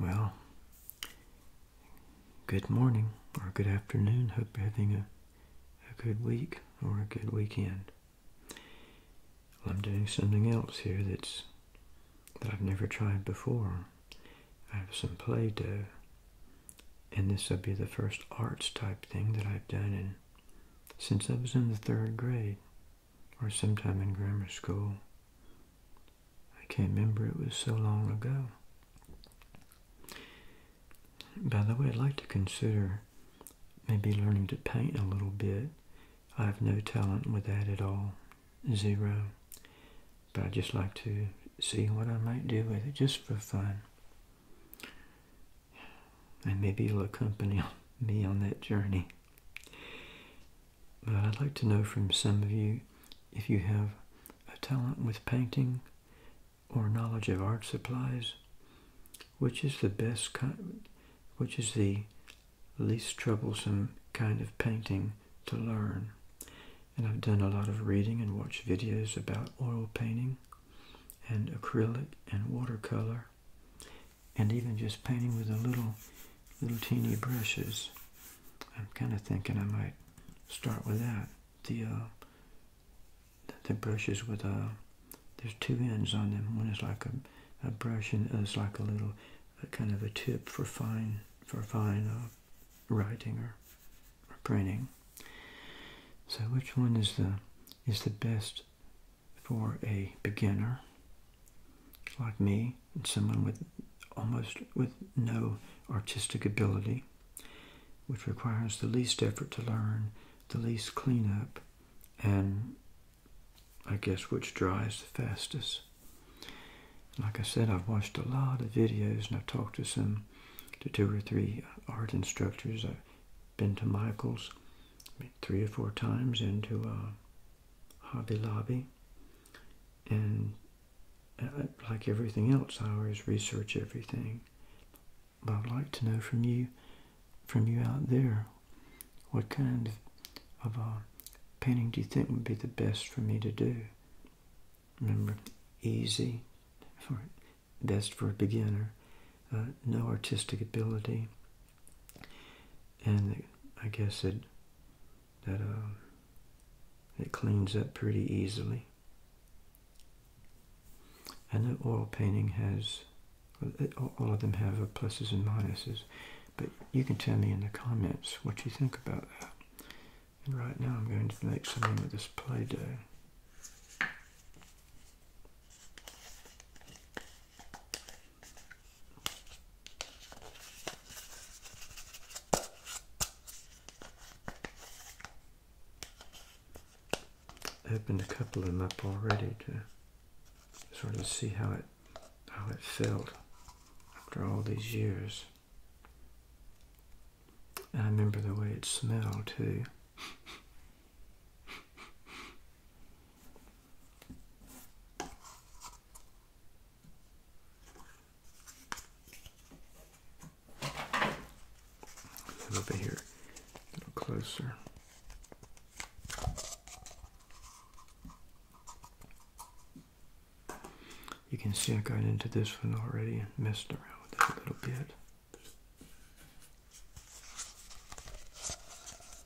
Well, good morning or good afternoon. Hope you're having a, good week or a good weekend. I'm doing something else here that's that I've never tried before. I have some play doh, and this will be the first arts type thing that I've done in since I was in the third grade or sometime in grammar school. I can't remember, it was so long ago. By the way, I'd like to consider maybe learning to paint a little bit. I have no talent with that at all, zero. But I'd just like to see what I might do with it just for fun and maybe you'll accompany me on that journey. But I'd like to know from some of you if you have a talent with painting or knowledge of art supplies, which is the best kind, which is the least troublesome kind of painting to learn. And I've done a lot of reading and watched videos about oil painting and acrylic and watercolor and even just painting with a little, little teeny brushes. I'm kind of thinking I might start with that. The uh, the brushes with a uh, there's two ends on them. One is like a, brush, and the other's like a little, kind of a tip for fine for fine uh, writing or, or printing. So which one is the is the best for a beginner like me and someone with almost with no artistic ability, which requires the least effort to learn, the least cleanup, and I guess which dries the fastest. Like I said, I've watched a lot of videos and I've talked to some, to two or three art instructors. I've been to Michael's three or four times into uh, Hobby Lobby. And uh, like everything else, I always research everything. But I'd like to know from you, from you out there, what kind of, of uh, painting do you think would be the best for me to do? Remember, easy, for best for a beginner, no artistic ability, and I guess it that um, it cleans up pretty easily. And the oil painting has, all of them have pluses and minuses, but you can tell me in the comments what you think about that. And right now I'm going to make something with this Play-Doh. I've opened a couple of them up already to sort of see how it how it felt after all these years. And I remember the way it smelled too. A here, a little closer. You can see I got into this one already and messed around with it a little bit.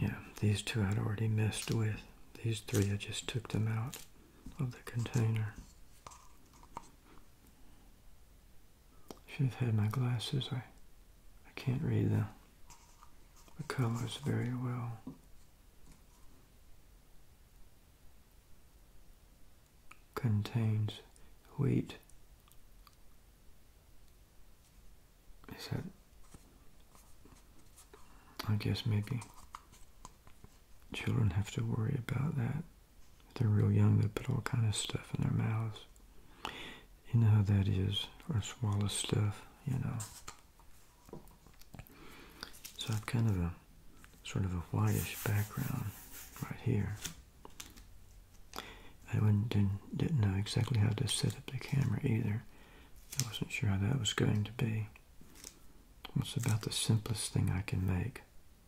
Yeah, these two I'd already messed with. These three, I just took them out of the container. Should have had my glasses. I, I can't read the, the colors very well contains wheat. Is that? I guess maybe children have to worry about that. If they're real young, they put all kind of stuff in their mouths. You know how that is, or swallow stuff, you know. So I've kind of a sort of a whitish background right here. I didn't, didn't know exactly how to set up the camera either. I wasn't sure how that was going to be. It's about the simplest thing I can make.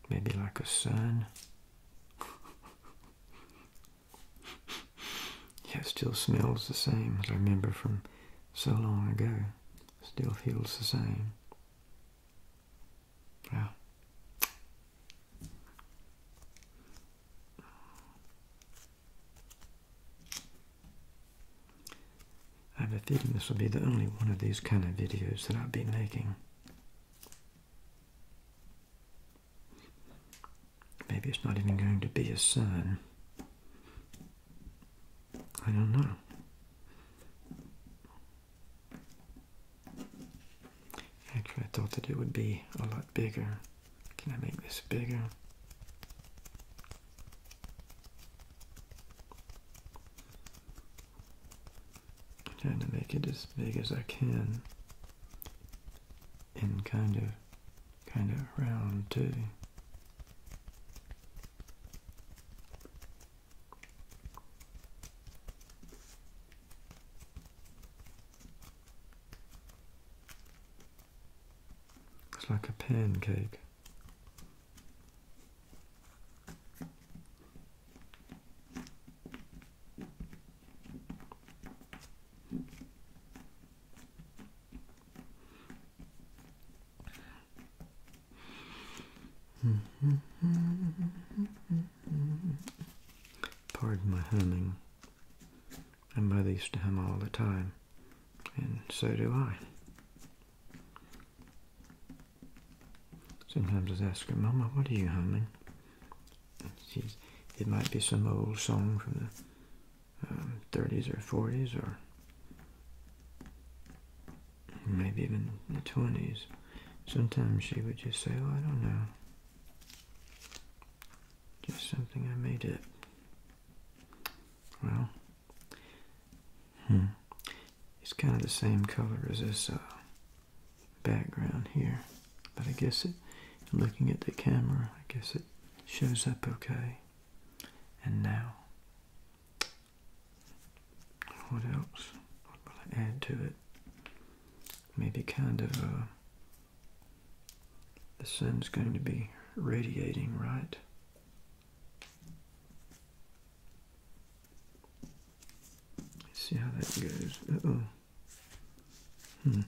Maybe like a sun. yeah, it still smells the same as I remember from so long ago. Still feels the same. I have a feeling this will be the only one of these kind of videos that I'll be making. Maybe it's not even going to be a sun. I don't know. Actually, I thought that it would be a lot bigger. Can I make this bigger? trying to make it as big as I can and kind of, kind of round too. It's like a pancake. Pardon my humming. My mother used to hum all the time, and so do I. Sometimes I ask her, Mama, what are you humming? She's, it might be some old song from the 30s um, or 40s or maybe even the 20s. Sometimes she would just say, oh, I don't know. Just something I made up. Well, hmm. It's kind of the same color as this uh, background here. But I guess it, looking at the camera, I guess it shows up okay. And now, what else? What will I add to it? maybe kind of uh, the sun's going to be radiating right see how that goes uh-oh hmm.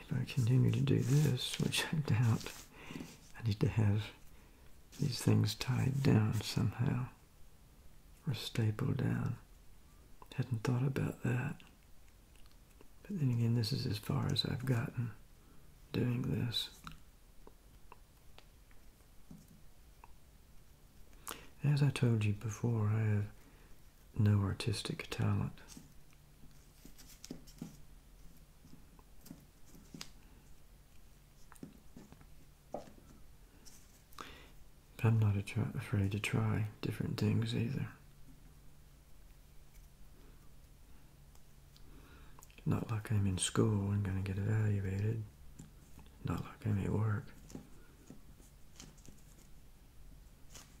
if I continue to do this which I doubt I need to have these things tied down somehow or stapled down. Hadn't thought about that. But then again, this is as far as I've gotten doing this. As I told you before, I have no artistic talent. I'm not afraid to try different things either. Not like I'm in school and going to get evaluated. Not like I'm at work.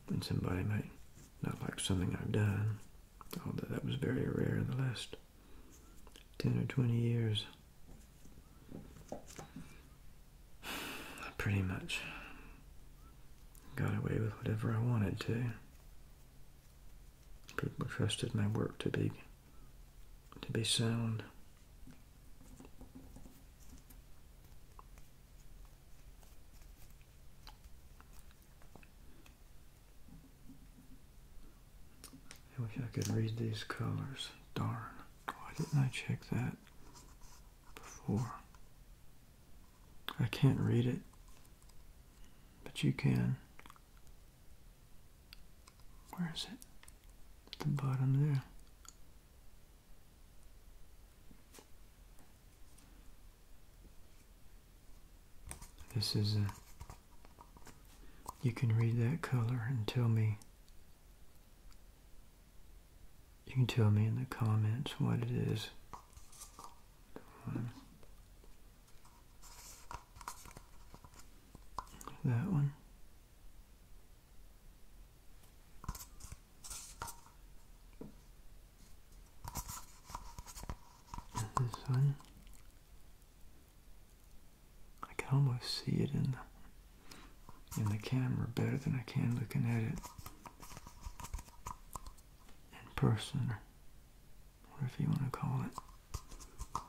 And somebody might not like something I've done, although that was very rare in the last 10 or 20 years. I pretty much got away with whatever I wanted to. People trusted my work to be to be sound. I wish I could read these colors. Darn. Why didn't I check that? before. I can't read it, but you can. Where is it? At the bottom there. This is a. You can read that color and tell me you can tell me in the comments what it is. That one. this one. I can almost see it in the in the camera better than I can looking at it in person or if you want to call it.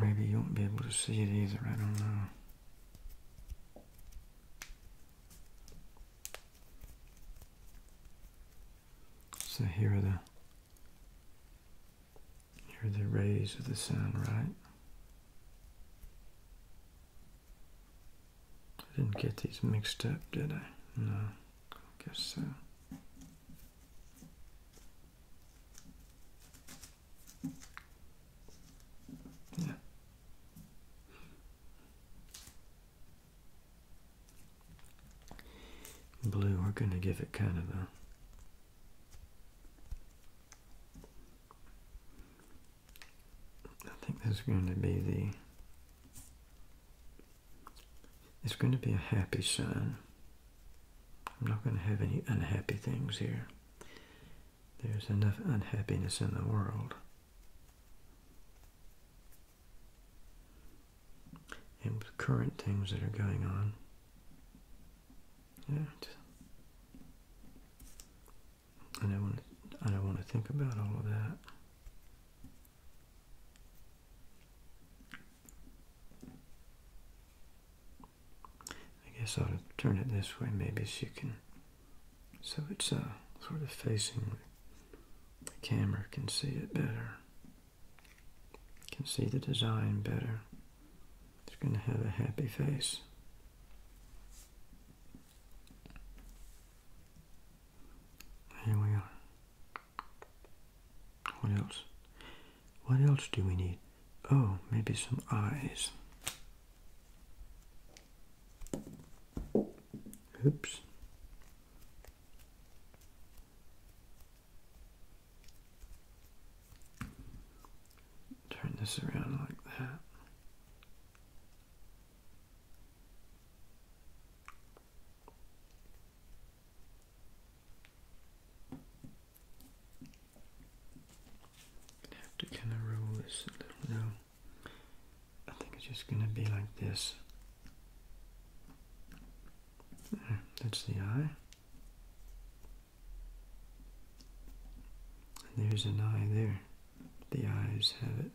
Maybe you won't be able to see it either, I don't know. So here are the here are the rays of the sun, right? I didn't get these mixed up, did I? No, I guess so. Yeah. Blue, we're going to give it kind of a I think there's going to be the it's going to be a happy sign. I'm not going to have any unhappy things here. There's enough unhappiness in the world. And with current things that are going on. Yeah, I don't want to, I don't want to think about all of that. I guess I will turn it this way, maybe so you can, so it's uh, sort of facing the camera, can see it better, can see the design better. It's going to have a happy face. Here we are. What else? What else do we need? Oh, maybe some eyes. Oops. Turn this around like that. Have to kind of roll this a little. I think it's just going to be like this. There, hmm, that's the eye. And there's an eye there. The eyes have it.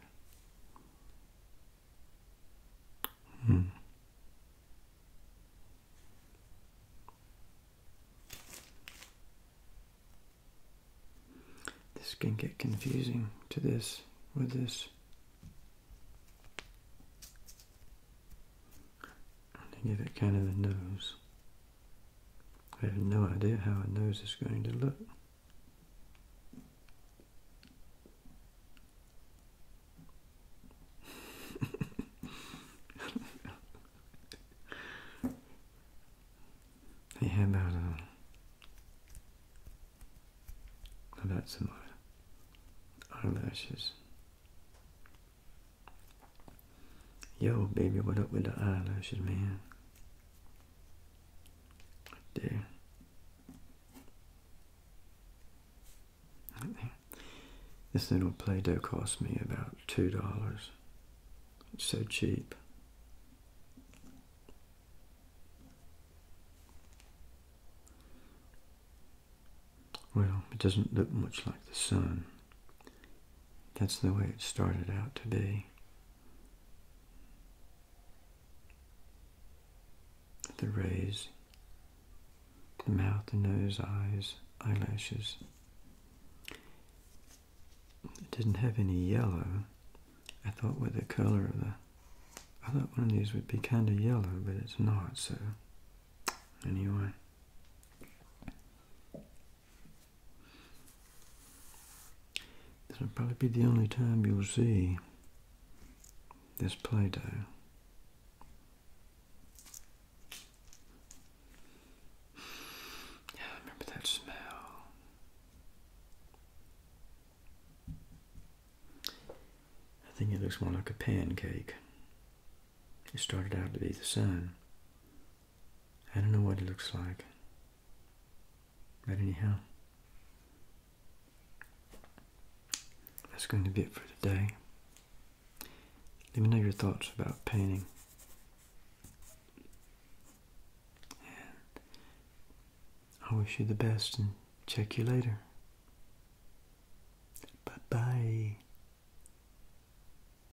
Hmm. This can get confusing to this with this. And to give it kind of a nose. I have no idea how a nose is going to look. hey, uh, how about some eyelashes? Yo, baby, what up with the eyelashes, man? there. there. This little Play-Doh cost me about $2. It's so cheap. Well, it doesn't look much like the sun. That's the way it started out to be. The rays, the mouth, the nose, eyes, eyelashes. It didn't have any yellow. I thought with the color of the... I thought one of these would be kind of yellow, but it's not, so... Anyway. This will probably be the only time you'll see this Play-Doh. Yeah, remember that smell. I think it looks more like a pancake. It started out to be the sun. I don't know what it looks like. But anyhow, that's going to be it for today. Let me know your thoughts about painting. And I wish you the best and check you later. Bye-bye.